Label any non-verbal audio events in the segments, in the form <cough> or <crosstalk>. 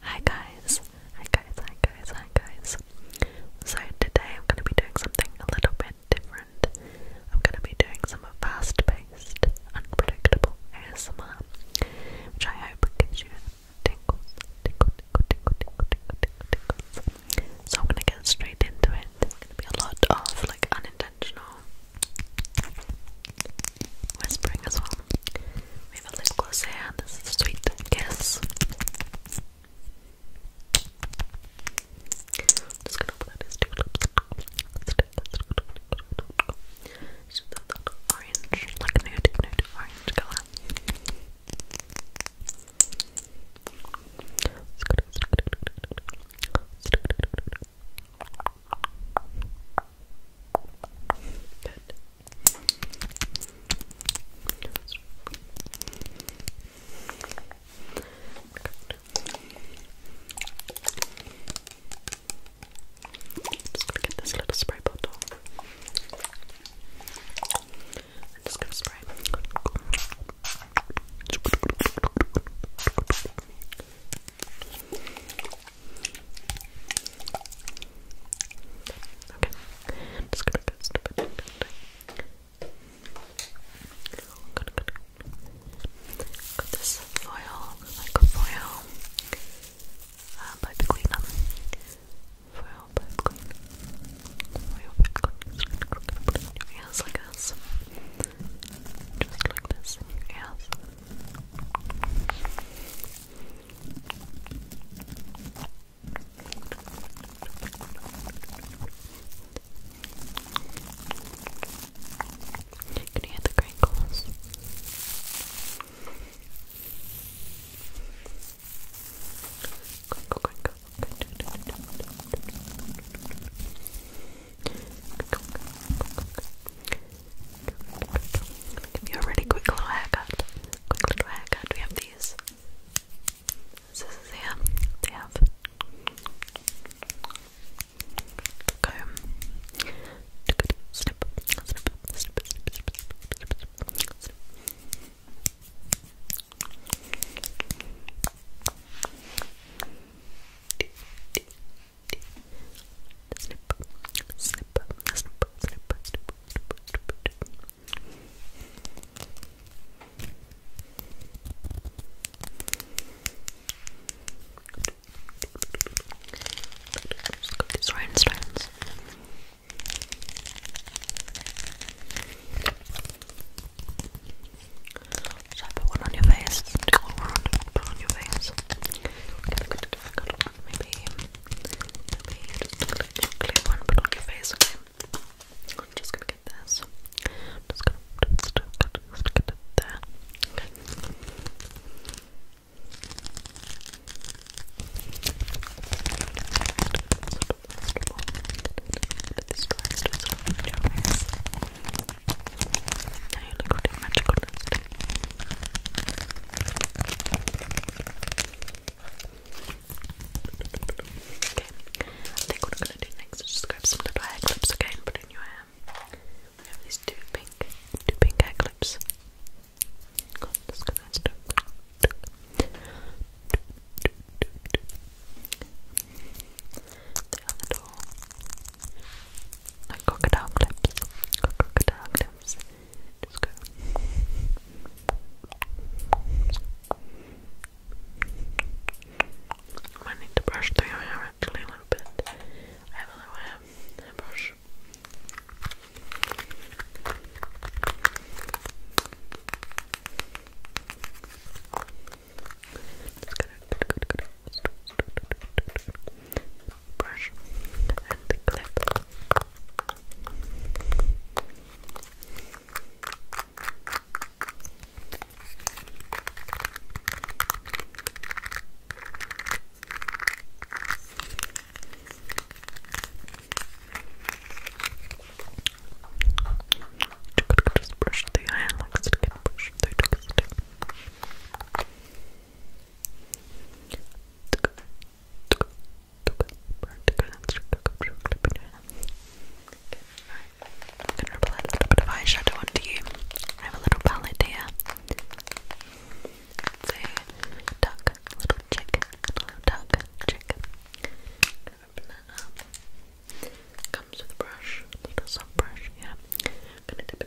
Hi guys, hi guys, hi guys, hi guys. So today I'm going to be doing something a little bit different. I'm going to be doing some fast-paced, unpredictable ASMR, which I hope gives you tingles, tingle, tingle, tingle, tingle, tingle, tingle, So I'm going to get straight into it. There's going to be a lot of like unintentional whispering as well. We have a lip gloss here. This Sweet Kiss. I'm just gonna put these two lips. So that orange, like nude, nude orange color. Good just gonna get this little spray bottle. just gonna spray. Okay, i just gonna go step it this foil, like foil, uh, pipe cleaner. Foil pipe cleaner. Foil pipe cleaner. Put it in like this. Just like this can you hear the crinkles? Crinkle, crinkle. Crinkle, crinkle, crinkle. Give you a really quick little haircut. Quick little haircut. We have these scissors here. They have comb snip, snip, snip, snip, snip. Just go these rhinestones. Should I put one on your face? Do one on, put on your face. Okay, good, good, good, don't maybe, maybe just clip, clip one, put on your face, okay? I'm just gonna get this. I'm just gonna just, it there. Now you I think what I'm gonna do next is just grab some little hair clips, okay, and put in your hair. We have these two pink, two pink hair clips. God, this gonna like crocodile clips. Crocodile clips. Just go. I need to brush through your hair actually a little bit. I have a little hair, hair brush. Just gonna brush and clip. Just brush the eye and like brush through the stick. I'm gonna apply a little bit of eyeshadow onto you. I have a little palette here. duck, little chick, little duck, chick. Comes with a brush, little soft brush, yeah. I'm gonna dip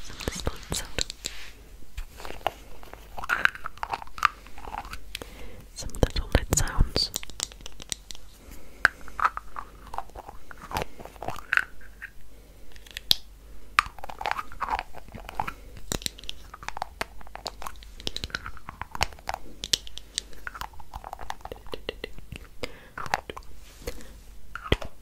Sound, sound, sound. Some little sounds.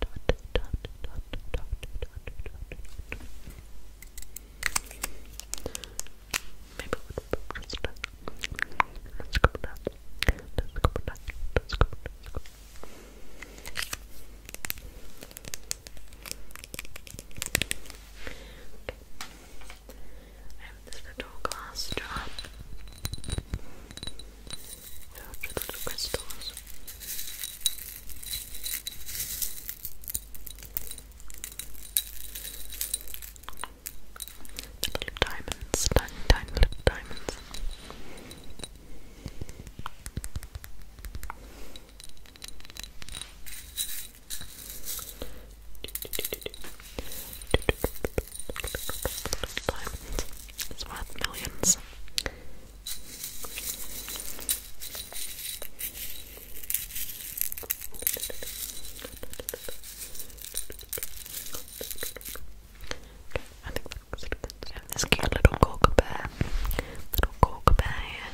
dot dot Maybe we'll just let Let's go back. Let's go back. Let's go I have this little glass jar filled with little crystals little diamonds, tiny, tiny little diamonds. It's worth millions. I think that looks good. And this cute little cork bear. Little cork bear here.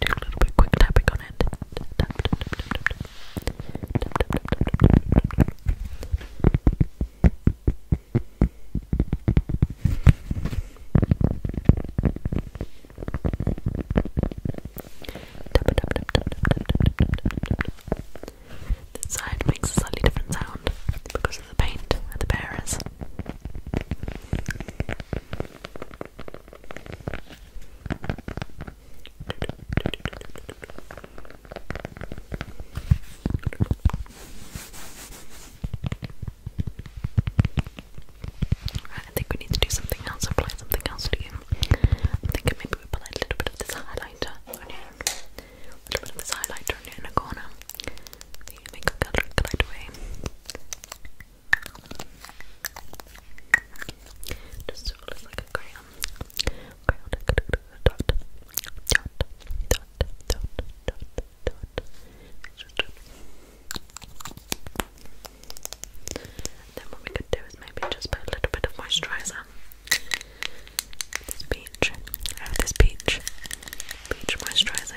Do a little bit quick tapping on it. Tap, tap, tap, this side makes a slightly different sound because of the paint and the bearers. I think we need to do something else, apply something else to you. I'm thinking maybe we apply a little bit of this highlighter a little bit of this highlighter on your corner, the makeup color glide away. Just sort of like a crayon. Dot. Dot. Dot. Dot. Dot. Dot. dot. Then what we could do is maybe just put a little bit of moisturizer. peach. I oh, have this peach. Peach moisturizer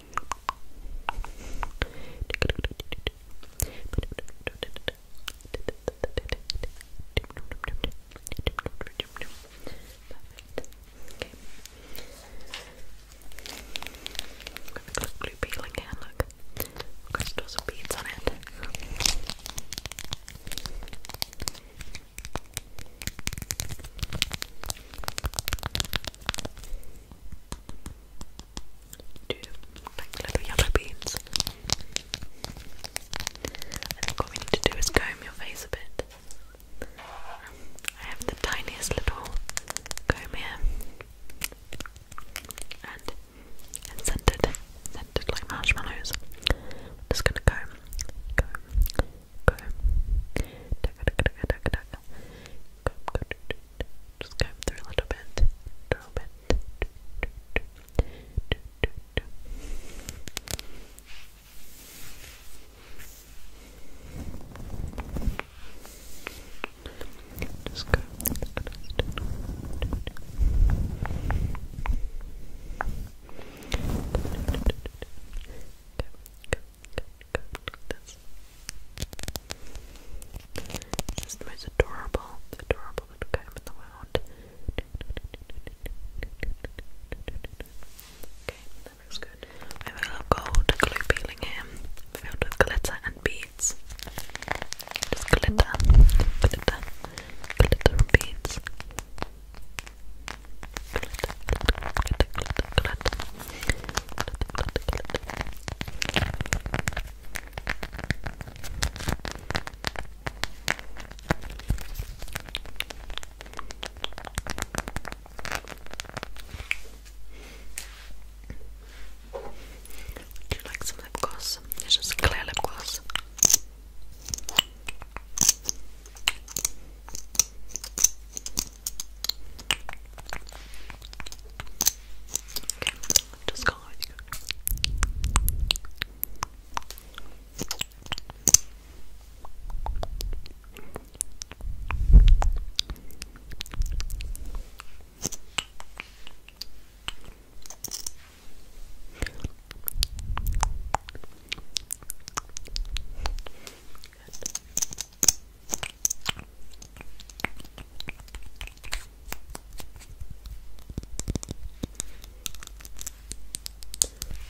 I've blue peeling here, look. I've beads on it. Do like little yellow beads. I what we need to do is comb your face a bit. I have the tiniest little comb here, and it's scented, scented like marshmallows. just gonna comb, comb, go. Just comb through a little bit, little bit. Just go. Good, good. This. is the most adorable, adorable Okay, that looks good. I have a gold glue peeling here, filled with glitter and beads. Just glitter, glitter, glitter beads. Would you like some lip gloss? It's just clear lip gloss. Okay, just call it.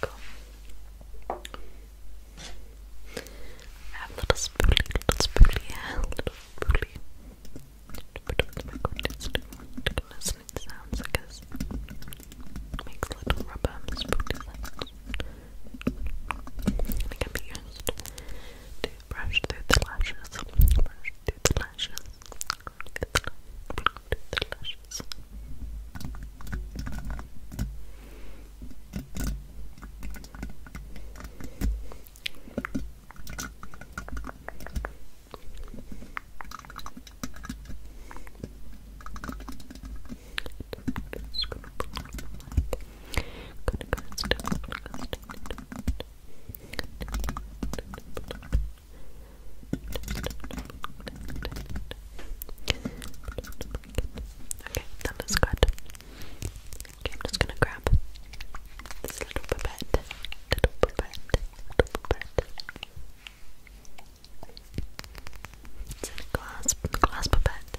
Cool. I have a little spoolie, little little spoolie. Put up the microphone, it's doing good listening sounds, I makes little rubber spooky sounds. can be used to brush through the lashes, brush through the lashes, brush through the, lashes. Okay, that looks good. Okay, I'm just gonna grab this little pipette, little pipette, little pipette. It's a glass, glass pipette.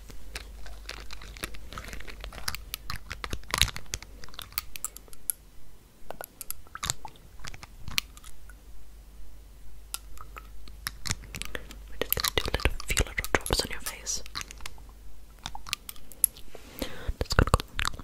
We're just gonna do a few little drops on your face. Just going go.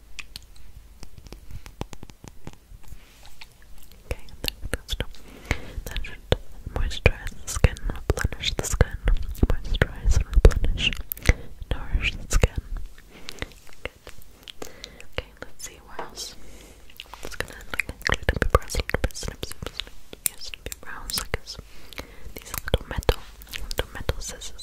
Okay, that's that, that should moisturize the skin, replenish the skin, moisturize and replenish, nourish the skin. Okay, let's see what else. i gonna like glue up your brows a little bit, like this. These little metal, little metal scissors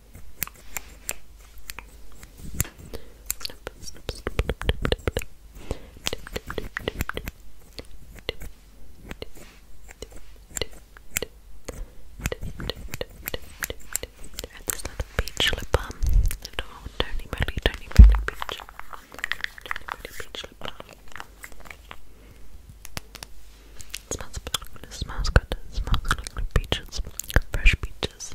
And this little peach lip balm. Oh, tiny, really, tiny, really peach. Tiny, really peach lip balm. smells, it smells good. It smells like peaches, fresh peaches.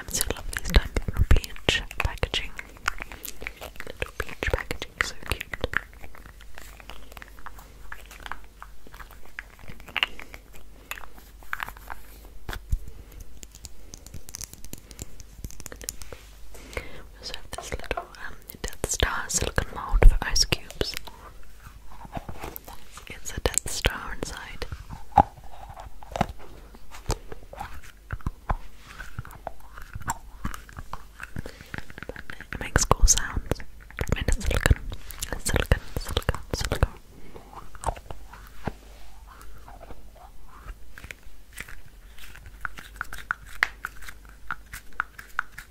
I'm so love these type of peach packaging. Little peach packaging, so cute. also this little um, Star silicone mold for ice cubes. It's a death star inside. It makes cool sounds. I mean, silicon. silicon, silicon, silicon. Okay,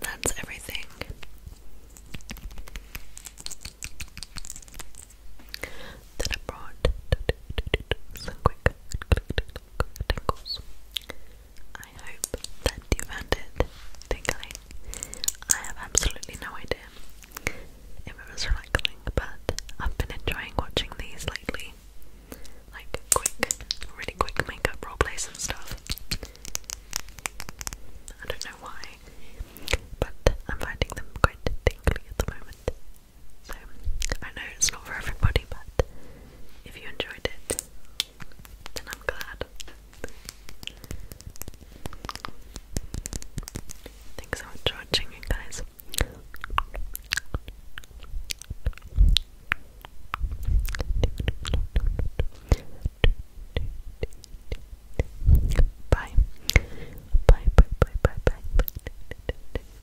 that's everything. That I brought <laughs> so quick tingles. I hope that you found it tingling. I have absolutely no idea if it was relaxing, but I've been enjoying watching these lately. Like quick, really quick makeup roleplays and stuff. I don't know why, but I'm finding them quite tingly at the moment. So, I know it's not for everybody, but if you enjoyed it, then I'm glad. Thanks so much for watching, you guys. Bye. Bye, bye, bye, bye, bye.